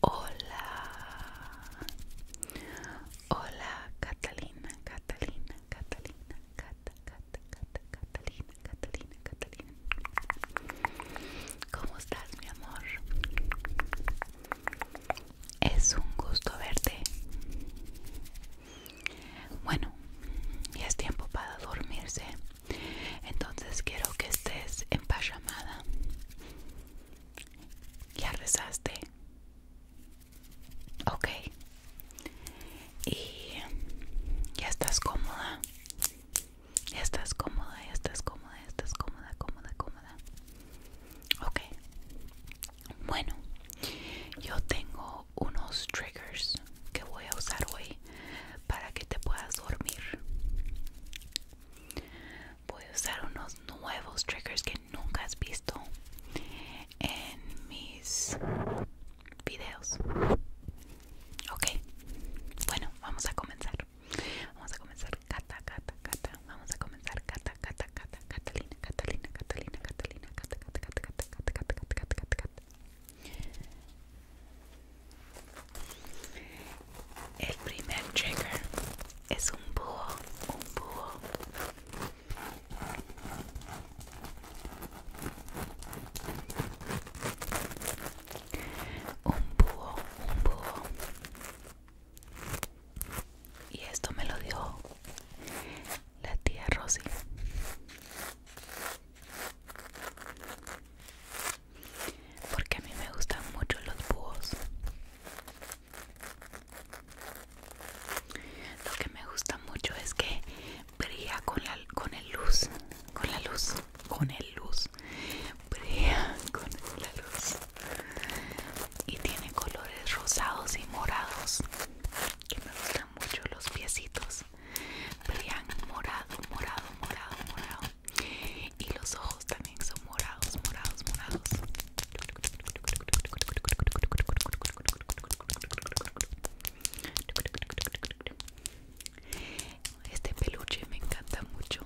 Hola, hola Catalina, Catalina, Catalina, Cata, Cata, Catalina, Catalina, Catalina. ¿Cómo estás, mi amor? Es un gusto verte. Bueno, ya es tiempo para dormirse. Entonces quiero que estés en llamada. ¿Ya rezaste? Ok. ¿Y ya estás cómoda? estás cómoda, estás cómoda, estás cómoda, cómoda, cómoda. Ok. Bueno, yo tengo unos triggers que voy a usar hoy para que te puedas dormir. Voy a usar unos nuevos triggers que nunca has visto en mis videos. Ok, bueno, vamos a comenzar. Vamos a comenzar. Vamos a comenzar. Catalina, Catalina, Catalina, Catalina, Cata, El primer trigger es un búho, un búho. Un búho, un búho. Y esto me lo dio la tía Rosy. Porque a mí me gustan mucho los búhos. Lo que me gusta mucho es que brilla con la con el luz, con la luz, con el luz brillan con la luz y tiene colores rosados y morados que me gustan mucho los piecitos brillan morado morado morado morado y los ojos también son morados morados morados este peluche me encanta mucho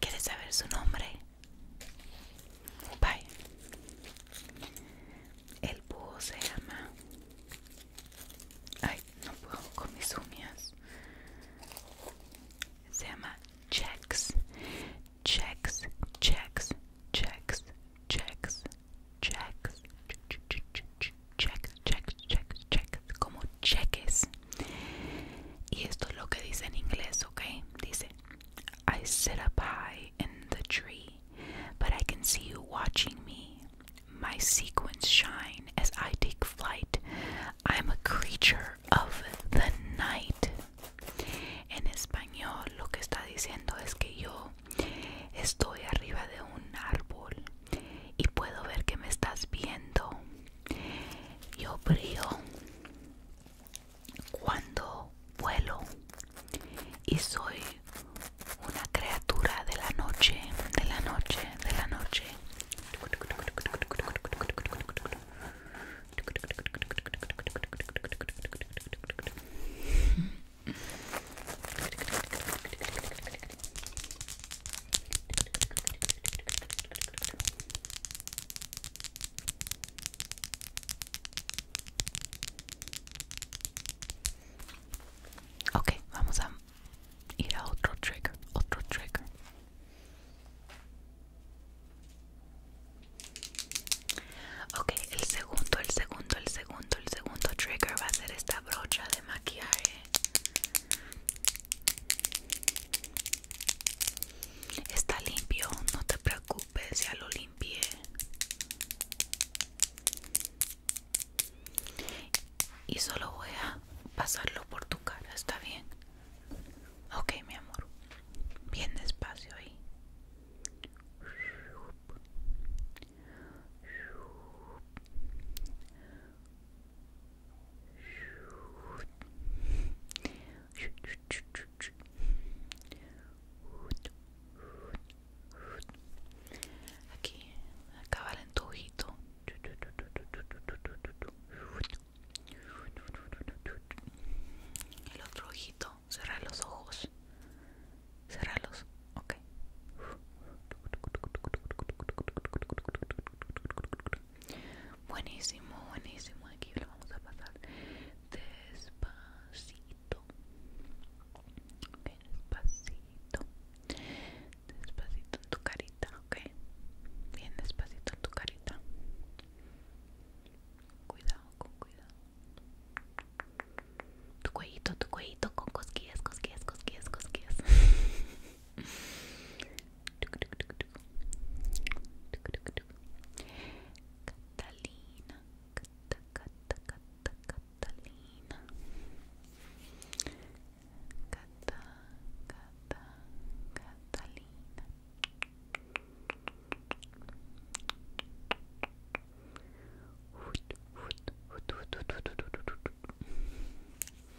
¿Quieres saber su nombre? Bye. El búho se llama. Ay, no puedo con mis uñas. Se llama Chex. Chex, Chex, Chex, Chex, checks, checks, checks, checks, checks, como cheques. Y esto es lo que dice en inglés, ¿ok? Dice, I sit up high in the tree, but I can see you watching me. My sequence shine as I take flight. I'm a creature of the night. En español, lo que está diciendo es que yo estoy arriba de un árbol y puedo ver que me estás viendo. Yo brío cuando vuelo y soy una criatura de la noche, de la noche, de la noche. Ok, vamos a ir a otro trigger, otro trigger. Ok, el segundo, el segundo, el segundo, el segundo trigger va a ser esta brocha de maquillaje. Está limpio, no te preocupes, ya lo limpié. Y solo voy a pasarlo por tu cara, ¿está bien? Ok, mi amor. Bien despacio ahí. Aquí, acá en tu ojito. El otro ojito, cerrar los ojos. los Ok. Buenísimo, buenísimo. Aquí lo vamos a pasar despacito. despacito. Despacito en tu carita, ok. Bien despacito en tu carita. Cuidado, con cuidado. Tu cuellito, tu cuellito con cosquillas, cosquillas, cosquillas, cosquillas. Catalina, Cata, Cata, Cata, Catalina, Cata, Cata, Catalina. Hoot, hoot, hoot, hoot, hoot, hoot, hoot, hoot.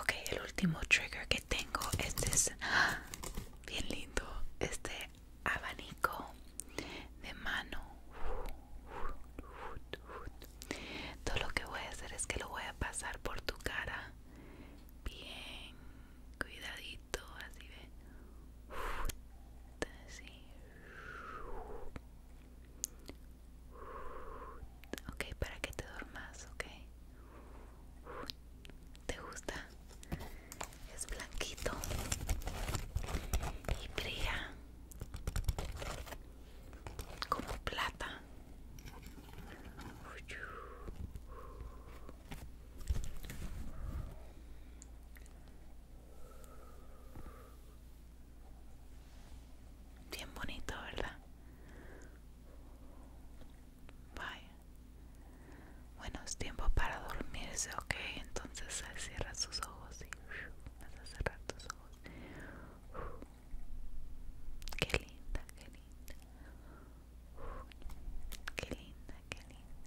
Ok, el último trigger que tengo este es ¡ah! bien lindo, este abanico de mano. Todo lo que voy a hacer es que lo voy a pasar por tu cara, bien cuidadito todo así ve ok para que te duermas okay te gusta es blanquito y brilla como plata Bien bonito, ¿verdad? Vaya. Bueno, es tiempo para dormirse, ¿ok? Entonces cierra sus ojos y vas a cerrar tus ojos. Qué linda, qué linda. Qué linda, qué linda.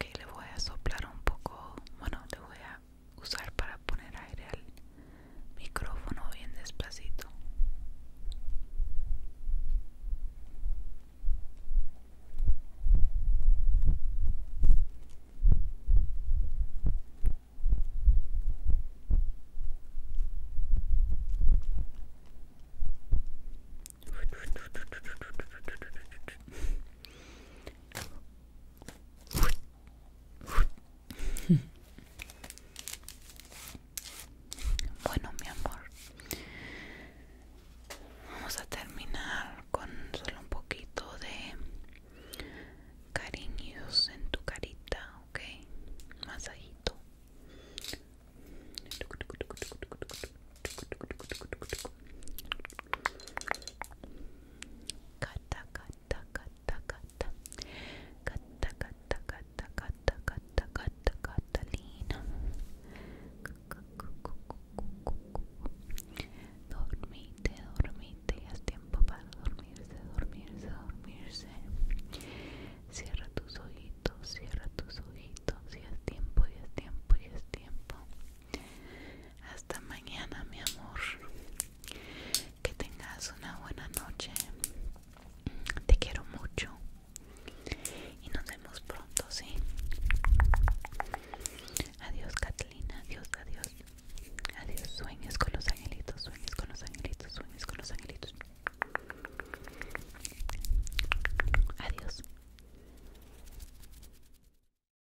Okay, le voy a soplar un poco, bueno, te voy a usar para poner aire al micrófono bien despacito Bueno, mi amor, vamos a terminar con solo un poquito de cariños en tu carita, ¿ok? Masajito. Cata, cata, cata, cata. Cata, cata, cata, cata, cata, cata, Catalina. Dormite, dormite, ya es tiempo para dormirse, dormirse, dormirse. Cierra tus ojitos, cierra tus ojitos, cata es tiempo, ya es tiempo, ya es tiempo. Hasta mañana, mi amor. Que tengas una buena noche. Te quiero mucho. Y nos vemos pronto, ¿sí? Adiós, Catalina. Adiós, adiós. Adiós, Sueñes con los angelitos, Sueñes con los angelitos, Sueñes con los angelitos. Adiós.